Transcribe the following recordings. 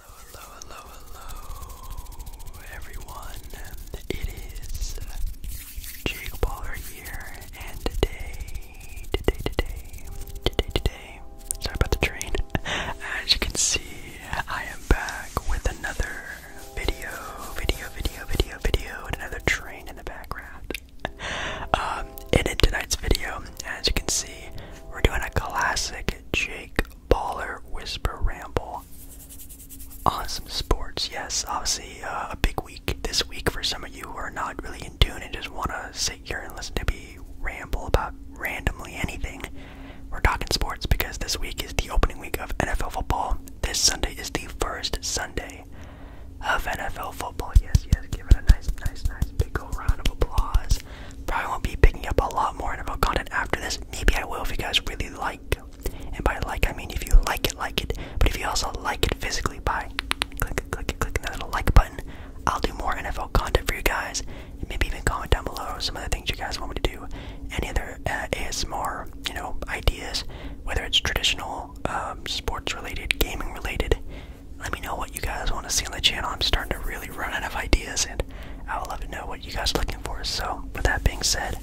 Hello, hello, hello, hello, everyone. It is Jake Baller here, and today, today, today, today, today, sorry about the train. As you can see, I am back with another video, video, video, video, video, and another train in the background. And um, in tonight's video, as you can see, we're doing a classic Jake Baller Whisper Ramble Awesome sports. Yes, obviously uh, a big week this week for some of you who are not really in tune and just want to sit here and listen to me ramble about randomly anything. We're talking sports because this week is the opening week of NFL football. This Sunday is the first Sunday of NFL football. Yes, yes, give it a nice, nice, nice big old round of applause. Probably won't be picking up a lot more NFL content after this. Maybe I will if you guys really like. And by like, I mean if you like it, like it. But if you also like it physically by click, click, clicking that little like button, I'll do more NFL content for you guys. And maybe even comment down below some of the things you guys want me to do. Any other uh, ASMR, you know, ideas, whether it's traditional, um, sports-related, gaming-related. Let me know what you guys want to see on the channel. I'm starting to really run out of ideas, and I would love to know what you guys are looking for. So, with that being said,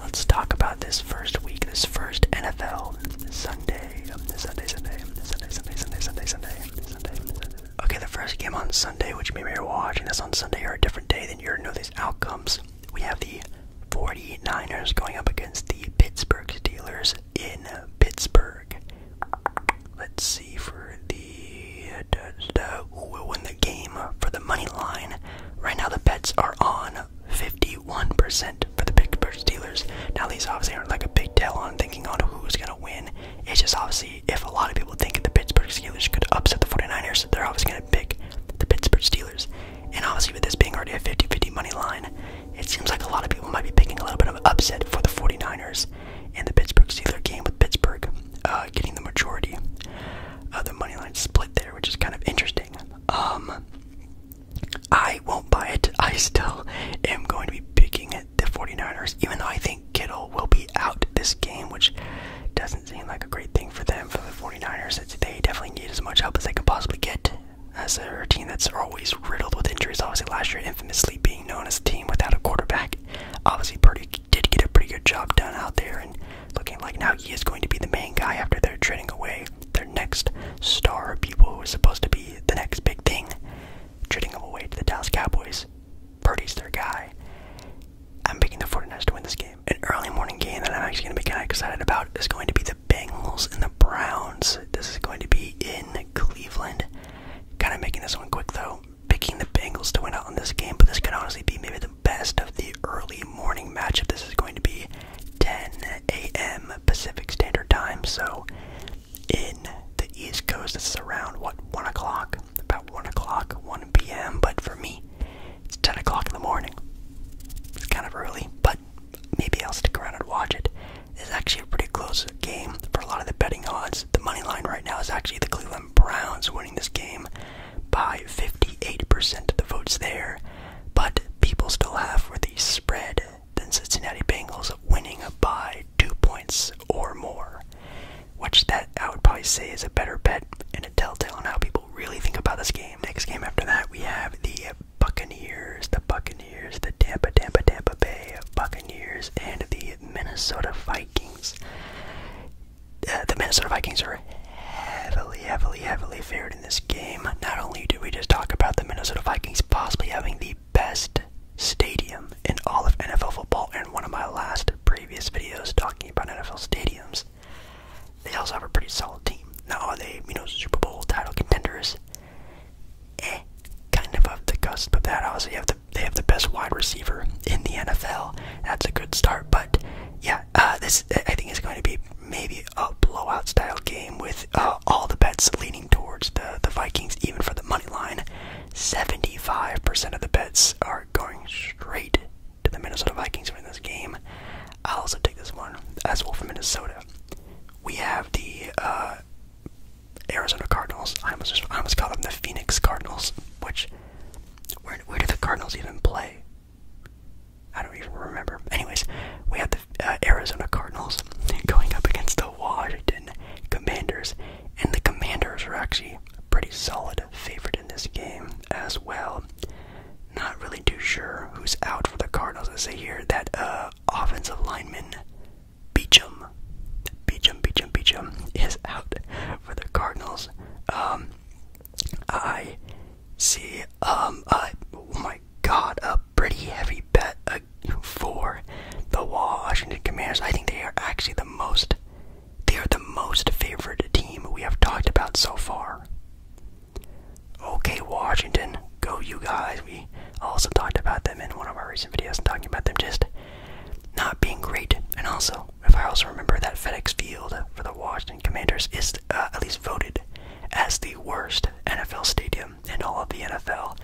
let's talk about this first week, this first NFL Sunday, Sunday, Sunday, Sunday, Sunday, Sunday, Sunday, Sunday, Sunday, Sunday. Okay, the first game on Sunday, which maybe you're watching this on Sunday or a different day, than you're know these outcomes. We have the 49ers going up against the Pittsburgh Steelers in Pittsburgh. Let's see for the who will win the game for the money line. Right now, the bets are on 51% for the Pittsburgh Steelers. Now, these obviously aren't like a big deal on thinking on who's going to win. It's just obviously if a lot of people think the Pittsburgh Steelers could upset the 49ers, they're obviously going to pick the Pittsburgh Steelers. And obviously, with this being already a 50 50 money line, it seems like a lot of people might be picking a little bit of upset for the 49ers and the Pittsburgh Steelers game with Pittsburgh uh, getting the majority of the money line split there, which is kind of interesting. Um, I won't buy it. I still am going to be picking the 49ers, even though I think Kittle will be out this game, which doesn't seem like a great thing for them, for the 49ers. they definitely need as much help as they can possibly get. As a team that's always riddled with injuries, obviously last year infamously being known as a team without a quarterback, Obviously, Purdy did get a pretty good job done out there, and looking like now he is going to be the main guy after they're trading away their next star, people who are supposed to be the next big thing, trading him away to the Dallas Cowboys. Purdy's their guy. I'm picking the 49ers to win this game. An early morning game that I'm actually going to be kind of excited about is going to be the Bengals and the Browns. This is going to be in Cleveland. Kind of making this one quick though picking the Bengals to win out on this game, but this could honestly be maybe the best of the early morning matchup. This is going to be 10 a.m. Pacific Standard Time, so in the East Coast, this is around what 1 o'clock, about 1 o'clock, 1 p.m. But for me, it's 10 o'clock in the morning. It's kind of early, but maybe I'll stick around and watch it. It's actually a pretty close game for a lot of the betting odds. The money line right now is actually the Cleveland Browns winning this game by 58% of the votes there, but people still have for the spread than Cincinnati Bengals winning by two points or more, which that I would probably say is a better bet and a telltale on how people really think about this game. Next game after that, we have the Buccaneers, the Buccaneers, the Tampa, Tampa, Tampa Bay Buccaneers, and the Minnesota Vikings. Uh, the Minnesota Vikings are heavily, heavily, heavily favored in this game. Not only do we just talk about the Minnesota Vikings possibly having the best stadium in all of NFL football in one of my last previous videos talking about NFL stadiums, they also have a pretty solid team. Now are they, you know, Super Bowl title contenders? Eh, kind of off the cusp of that. Obviously, you have the they have the best wide receiver in the NFL. That's a good start. But yeah, uh, this I think is going to be maybe a blowout style game with uh, all the bets leaning towards the the Vikings, even for the money line. Seventy five percent of the bets are going straight to the Minnesota Vikings in this game. I'll also take this one as well for Minnesota. We have the uh, Arizona Cardinals. I almost, I almost called them the Phoenix Cardinals, which, where, where do the Cardinals even play? I don't even remember. Anyways, we have the uh, Arizona Cardinals going up against the Washington Commanders, and the Commanders are actually pretty solid favorite in this game as well. Not really too sure who's out for the Cardinals. I I here that uh, offensive lineman Beachum, Beachum, Beachum, Beecham is out for the Cardinals. Um, I see, um, oh my god, a pretty heavy bet uh, for the Washington Commanders. I think they are actually the most, they are the most favored team we have talked about so far. Okay, Washington, go you guys. We also talked about them in one of our recent videos talking about them just not being great. And also, if I also remember that FedEx Field for the Washington Commanders is uh, at least voted as the worst NFL stadium in all of the NFL.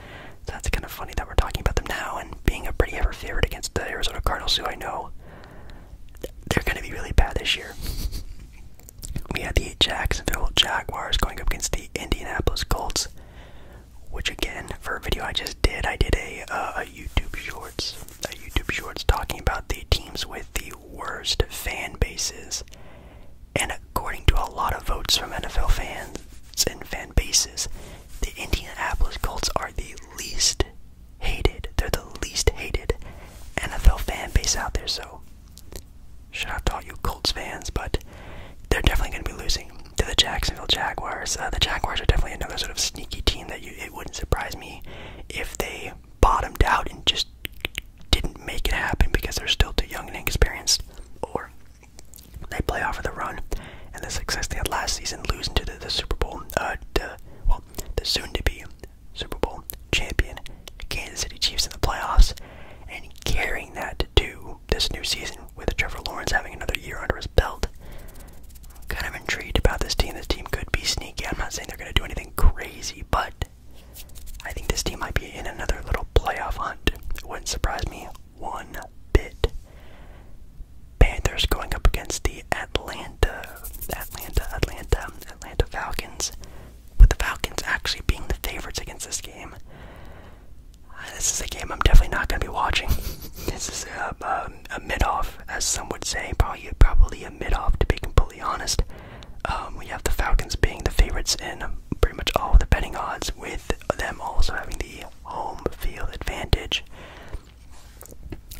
that's kind of funny that we're talking about them now and being a pretty ever favorite against the Arizona Cardinals, who I know they're going to be really bad this year. We had the Jacksonville Jaguars going up against the Indianapolis Colts, which again for a video I just did, I did uh, a YouTube Shorts, a YouTube Shorts talking about the teams with the worst fan bases, and according to a lot of votes from NFL fans and fan bases, the Indianapolis Colts are the least hated. They're the least hated NFL fan base out there. So, shout out to you Colts fans, but they're definitely going to be losing to the Jacksonville Jaguars. Uh, the Jaguars are definitely another sort of sneaky team that you, it wouldn't surprise me if they bottomed out and just didn't make it happen because they're still too young and inexperienced, or they play off of the run and the success they had last season, losing to the, the Super Bowl, uh, the, well, the soon-to-be Super Bowl champion Kansas City Chiefs in the playoffs, and carrying that to this new season with Trevor Lawrence having another year under his belt. kind of intrigued about this team. This team could be sneaky. I'm not saying they're going to do anything crazy, but I think this team might be in another little playoff hunt. It wouldn't surprise me one bit. Panthers going up against the Atlanta, Atlanta, Atlanta, Atlanta Falcons, with the Falcons actually being the favorites against this game. This is a game I'm definitely not going to be watching. this is a, um, um, a, mid-off, as some would say, probably probably a mid-off to be completely honest. Um, we have the Falcons being the favorites in pretty much all the betting odds, with them also having the home field advantage.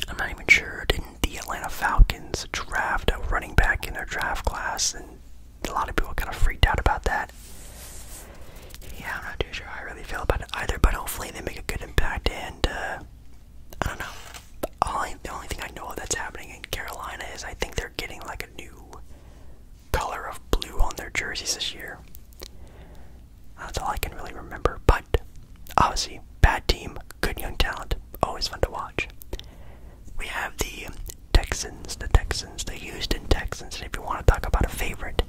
I'm not even sure. Didn't the Atlanta Falcons draft a running back in their draft class? And a lot of people kind of freaked out about that yeah, I'm not too sure I really feel about it either, but hopefully they make a good impact. And uh, I don't know. the only thing I know that's happening in Carolina is I think they're getting like a new color of blue on their jerseys this year. That's all I can really remember. But obviously, bad team, good young talent, always fun to watch. We have the Texans, the Texans, the Houston Texans. if you want to talk about a favorite,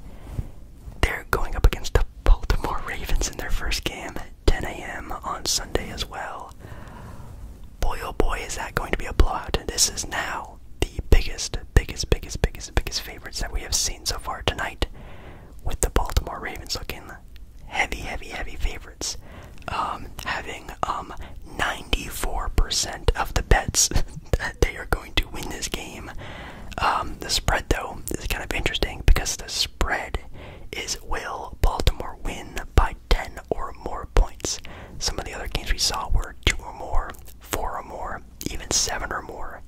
they're going up against the Baltimore Ravens in their first game at 10 a.m. on Sunday as well. Boy, oh boy, is that going to be a blowout. This is now the biggest, biggest, biggest, biggest, biggest favorites that we have seen so far tonight, with the Baltimore Ravens looking heavy, heavy, heavy favorites. Um, having um 94% of the bets they are going to win this game. Um, the spread, though, is kind of interesting because the spread is will Baltimore win by 10 or more points. Some of the other games we saw were 2 or more, 4 or more, even 7 or more.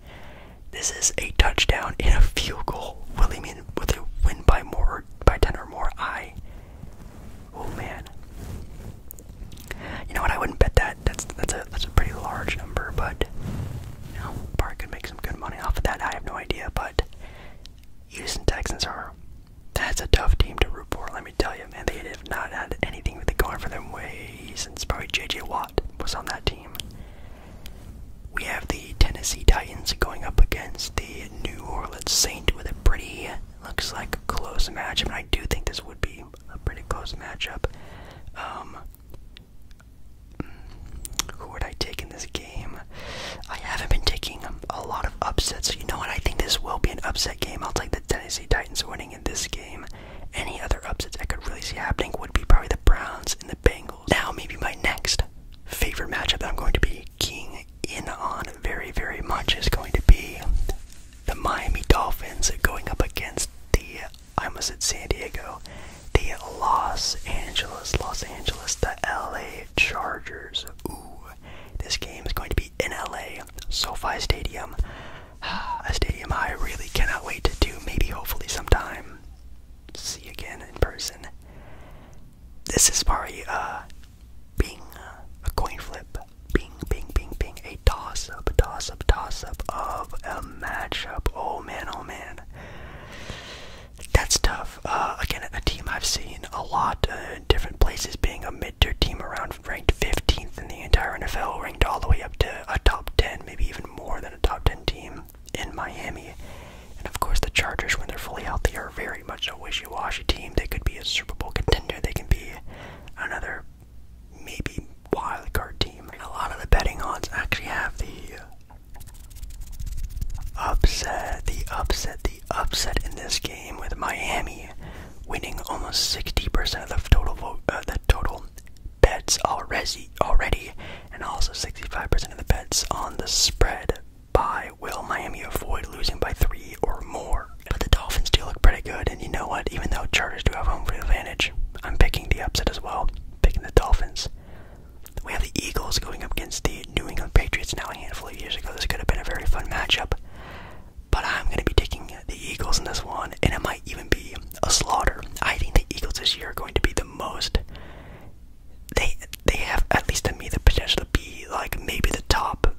This is a touchdown in a field goal. Will they mean? will they win by more or by 10 or more? I. Oh man. You know what? I wouldn't bet that. That's that's a that's a pretty large number, but probably could make some good money off of that. I have no idea, but Houston Texans are that's a tough team to root for. Let me tell you, man, they have not had anything really going for them way since probably J.J. Watt was on that team. We have the Tennessee Titans going up against the New Orleans Saints with a pretty looks like close match. I I do think this would be a pretty close matchup. Um, who would I take in this game? I haven't been taking a lot of upsets. You know what? I think this will be an upset game. I'll take the Tennessee Titans winning in this game. Any other upsets I could really see happening would be probably the Browns and the Bengals. Now, maybe my next favorite matchup that I'm going to be keying in on very, very much is going to be the Miami Dolphins going up against the I was at San Diego, the Los Angeles, Los Angeles, the LA Chargers. Ooh, this game is going to be in LA, SoFi Stadium, a stadium I really cannot wait to do. Maybe, hopefully, sometime see again in person. This is probably uh, being uh, a coin flip, bing, bing, bing, bing, a toss up, toss up, toss up of a matchup. Oh man, oh man. That's tough. Uh, again, a team I've seen a lot in uh, different places being a mid tier team around ranked 15th in the entire NFL, ranked all the way up to a top 10, maybe even more than a top 10 team in Miami. And of course, the Chargers, when they're fully healthy, are very much a wishy washy team. They could be a Super Bowl contender, they can be another maybe wild card team. A lot of the betting odds actually have the upset, the upset, the upset in this game with Miami winning almost 60% of the total vote, uh, the total bets already, already, and also 65% of the bets on the spread. By will Miami avoid losing by three or more? But the Dolphins do look pretty good and you know what? Even though Chargers do have home field advantage, I'm picking the upset as well, picking the Dolphins. We have the Eagles going up against the New England Patriots now a handful of years ago. This could have been a very fun matchup, but I'm going to be taking the Eagles in this one, and it might even be a slaughter. I think the Eagles this year are going to be the most. They they have at least to me the potential to be like maybe the top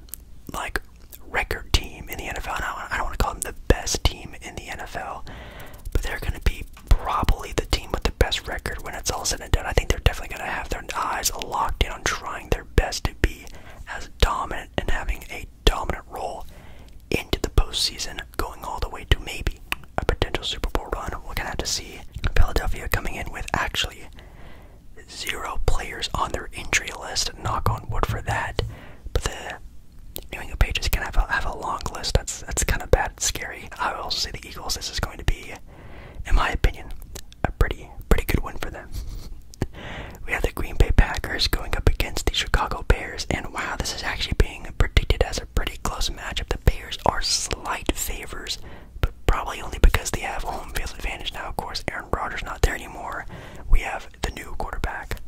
like record team in the NFL. And I don't want to call them the best team in the NFL, but they're going to be probably the team with the best record when it's all said and done. I think they're definitely going to have their eyes locked in on trying their best to be as dominant and having a dominant role into the postseason, going all the way to maybe a potential Super Bowl run. We're going to have to see Philadelphia coming in with actually zero players on their injury list. Knock on wood for that. But the New England Patriots can have a, long list. That's that's kind of bad. scary. I will say the Eagles. This is going to be, in my opinion, a pretty pretty good win for them. we have the Green Bay Packers going up against the Chicago Bears, and wow, this is actually being predicted as a pretty close matchup. The Bears are slight favors, but probably only because they have home field advantage now. Of course, Aaron Rodgers not there anymore. We have the new quarterback.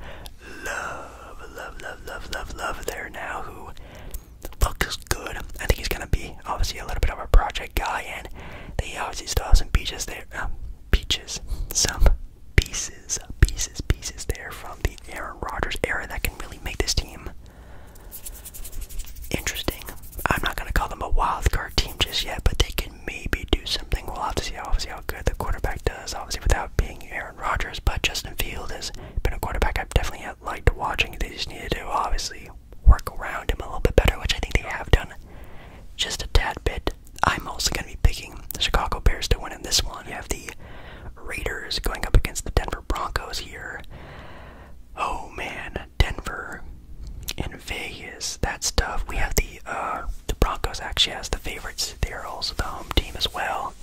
Love, love, love, love, love, love there now who looks good. I think he's gonna be obviously a little bit of a project guy, and they obviously still have some beaches there. Um, beaches, some pieces, pieces, pieces there from the Aaron Rodgers era that can really make this team interesting. I'm not gonna call them a wild card team just yet, but they can maybe do something. We'll have to see, obviously, how good the quarterback does, obviously, without being Aaron Rodgers, but Justin Field has been a quarterback I've definitely liked watching. They just need to obviously work around him a little bit better, which I think they have done just a tad bit. I'm also going to be picking the Chicago Bears to win in this one. You have the Raiders going up against the Denver Broncos here. Oh man, Denver and Vegas, that's tough. We have the uh, the Broncos actually has the favorites. They are also the home team as well.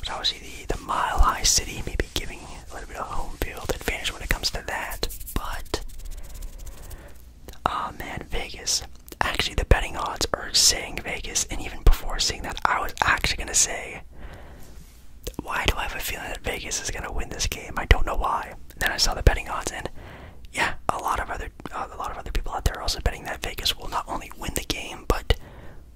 Which obviously the, the mile high city maybe giving a little bit of home field advantage when it comes to that. But oh man, Vegas. Actually the betting odds are saying Vegas, and even before seeing that I was actually gonna say why do I have a feeling that Vegas is gonna win this game? I don't know why. then I saw the betting odds and yeah, a lot of other uh, a lot of other people out there are also betting that Vegas will not only win the game, but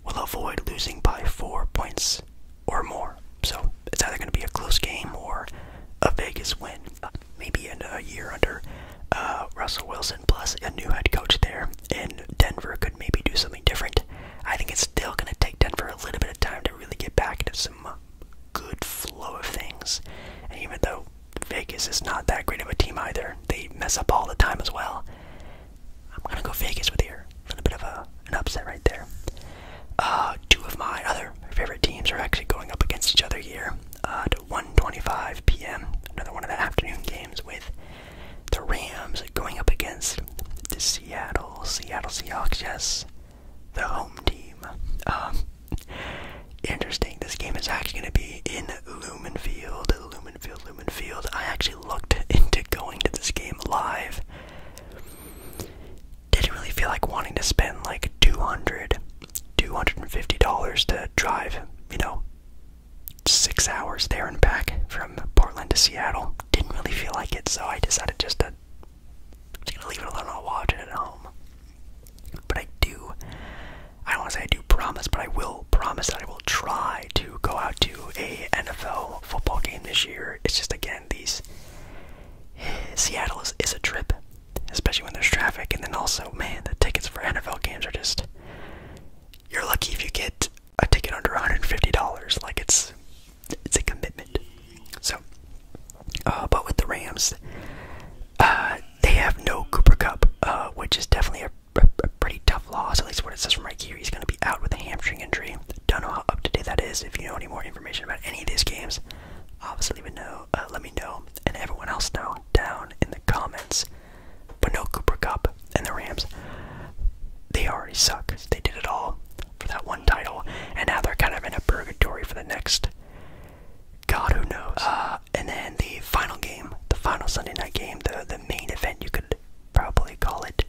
will avoid losing by four points or more. So it's either going to be a close game or a Vegas win. Uh, maybe in a year under uh, Russell Wilson plus a new head coach there in Denver could maybe do something different. I think it's still going to take Denver a little bit of time to really get back into some good flow of things. And even though Vegas is not that great of a team either. They mess up all the time as well. I'm gonna go Vegas with here. A little bit of a, an upset right there. Uh, two of my other favorite teams are actually going up against each other here uh, at 1:25 p.m. Another one of the afternoon games with the Rams going up against the Seattle Seattle Seahawks. Yes, the home team. Um, interesting. This game is actually going to be in Lumenfield. Lumenfield, Lumenfield. I actually looked into going to this game live. Didn't really feel like wanting to spend like 200 $250 to drive, you know, six hours there and back from Portland to Seattle. Didn't really feel like it, so I decided just to just gonna leave it alone. I'll watch it at home. But I do I don't want to say I do promise, but I will promise that I will try to go out to a NFL football game this year. It's just again these Seattle is, is a trip, especially when there's traffic, and then also man, the tickets for NFL games are just you're lucky if you get a ticket under $150. Like it's it's a commitment. So, uh, but with the Rams, uh, they have no Cooper Cup, uh, which is definitely a a, pretty tough loss, at least what it says from right here. He's going to be out with a hamstring injury. Don't know how up to date that is. If you know any more information about any of these games, obviously let me know, uh, let me know and everyone else know down in the comments. But no Cooper Cup and the Rams. They already suck. They did it all for that one title, and now they're kind of in a purgatory for the next. God, who knows? Uh, and then the final game, the final Sunday night game, the the main event you could probably call it.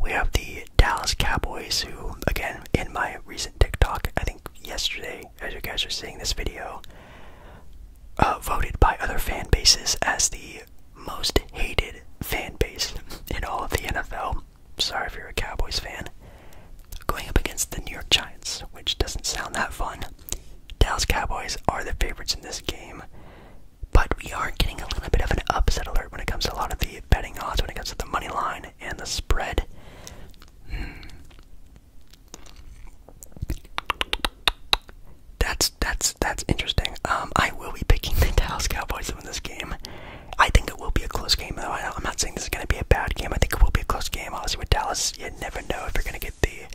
We have the Dallas Cowboys, who again in my recent TikTok, I think yesterday, as you guys are seeing this video, uh, voted by other fan bases as the most hated fan base in all of the NFL. Sorry if you're a Cowboys fan. Going up against the New York Giants, which doesn't sound that fun. Dallas Cowboys are the favorites in this game, but we are getting a little bit of an upset alert when it comes to a lot of the betting odds, when it comes to the money line and the spread. Hmm. That's that's that's interesting. Um, I will be picking the Dallas Cowboys in this game. I think it will be a close game, though. I'm not saying this is going to be a bad game. I think it will be a close game. Obviously, with Dallas, you never know if you're going to get the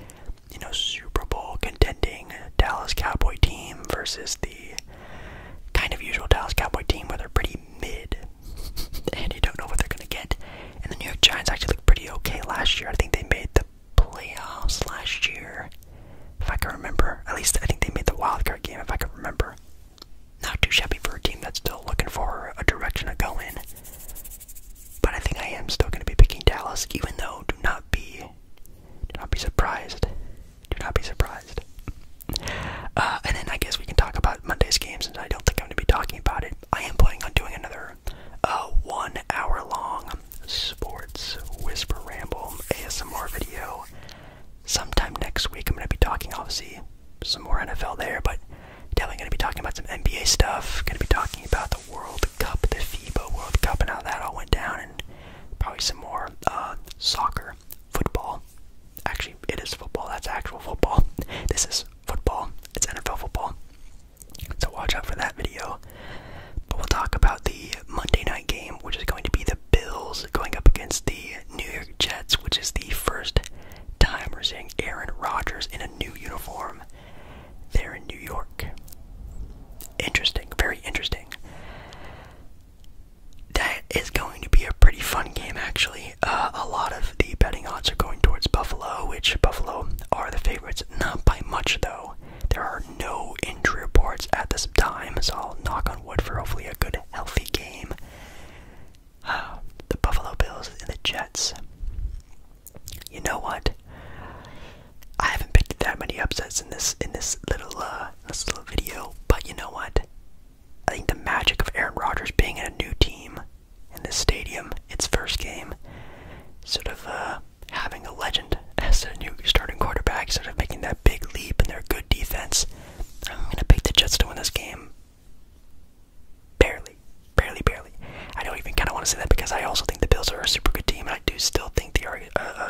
you know, Super Bowl contending Dallas Cowboy team versus the kind of usual Dallas Cowboy team where they're pretty mid and you don't know what they're going to get. And the New York Giants actually looked pretty okay last year. I think they made the playoffs last year, if I can remember. At least I think they made the wildcard game, if I can remember. Not too shabby for a team that's still looking for a direction to go in. But I think I am still going to be picking Dallas, even though do not be, do not be surprised, do not be surprised. Uh, and then I guess we can talk about Monday's game since I don't think I'm going to be talking about it. I am planning on doing another uh, one hour long sports whisper ramble ASMR video sometime next week. I'm going to be talking obviously some more NFL there, but Definitely going to be talking about some NBA stuff. Going to be talking about the World Cup, the FIBA World Cup, and how that all went down, and probably some more uh, soccer, football. Actually, it is football. That's actual football. This is football. It's NFL football. So watch out for that video. But we'll talk about the Monday night game, which is going to be the Bills going up against the New York Jets, which is the first time we're seeing Aaron Rodgers in a new uniform there in New York. Interesting, very interesting. That is going to be a pretty fun game, actually. Uh, a lot of the betting odds are going towards Buffalo, which Buffalo are the favorites, not by much though. There are no injury reports at this time, so I'll knock on wood for hopefully a good, healthy game. the Buffalo Bills and the Jets. You know what? I haven't picked that many upsets in this in this little uh, this little video, but you know what? I think the magic of Aaron Rodgers being in a new team in this stadium, its first game, sort of uh, having a legend as a new starting quarterback, sort of making that big leap in their good defense. I'm gonna pick the Jets to win this game. Barely. Barely, barely. I don't even kind of want to say that because I also think the Bills are a super good team, and I do still think they are a,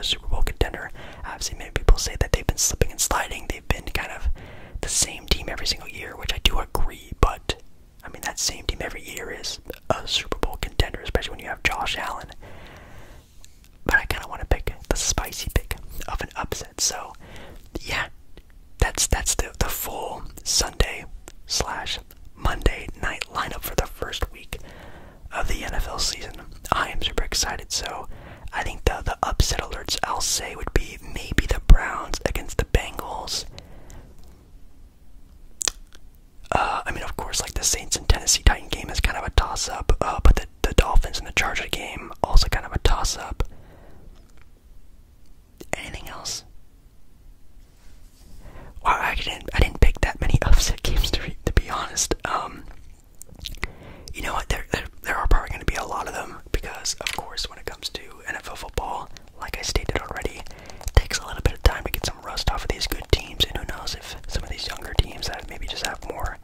Super Bowl contender. I've seen many people say that they've been slipping and sliding. They've been kind of the same team every single year, which I do agree, but I mean, that same team every year is a Super Bowl contender, especially when you have Josh Allen. But I kind of want to pick the spicy pick of an upset. So, yeah, that's that's the the full Sunday slash Monday night lineup for the first week of the NFL season. I am super excited. So I think the the upset alerts I'll say would be maybe the Browns against the Bengals. Uh, I mean, of course, like the Saints and Tennessee Titan game is kind of a toss up, uh, but the, the Dolphins and the Charger game also kind of a toss up. Anything else? Wow, I didn't I didn't pick that many upset games to be, honest. Um, you know what? There there, are probably going to be a lot of them because, of course, when it comes to NFL football, like I stated already, it takes a little bit of time to get some rust off of these good teams, and who knows if some of these younger teams that maybe just have more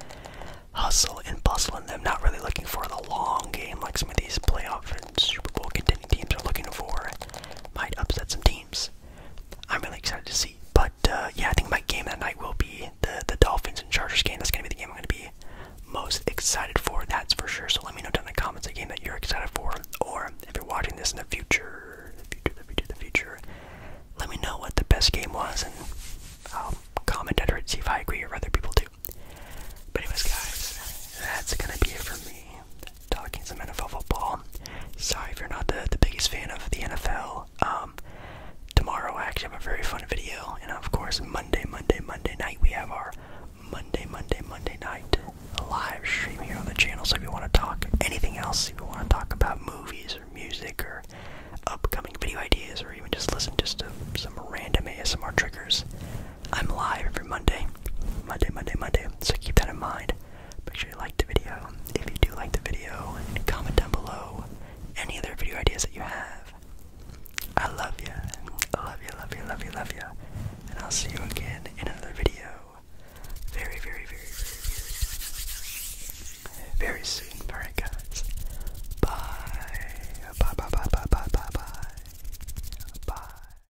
hustle and bustle in them, not really looking for the long game like some of these playoff Super Bowl contending teams are looking for might upset some teams. I'm really excited to see. But uh, yeah, I think my game that night will be the the Dolphins and Chargers game. That's gonna be the game I'm gonna be most excited for. That's for sure. So let me know down in the comments a game that you're excited for, or if you're watching this in the future, the future, the future, the future. Let me know what the best game was, and I'll comment under it, see if I agree or other people do. But anyways, guys, that's gonna be it for me talking some NFL football. Sorry if you're not the, the biggest fan of the NFL. Um, tomorrow I actually have a very fun video, and of course Monday, Monday, Monday night we have our Monday, Monday, Monday night live stream here on the channel. So if you want to talk anything else, if you want to talk about movies or music or upcoming video ideas, or even just listen just to some random ASMR triggers, I'm live every Monday. Monday, Monday, Monday. So keep that in mind. Make sure you like the video. If you do like the video, comment down below any other video ideas that you have. I love you. I love you, love you, love you, love you. And I'll see you again in another video. Very, very, very, very, very, very soon. Alright, guys. Bye. Bye, bye, bye, bye, bye, bye, bye. Bye.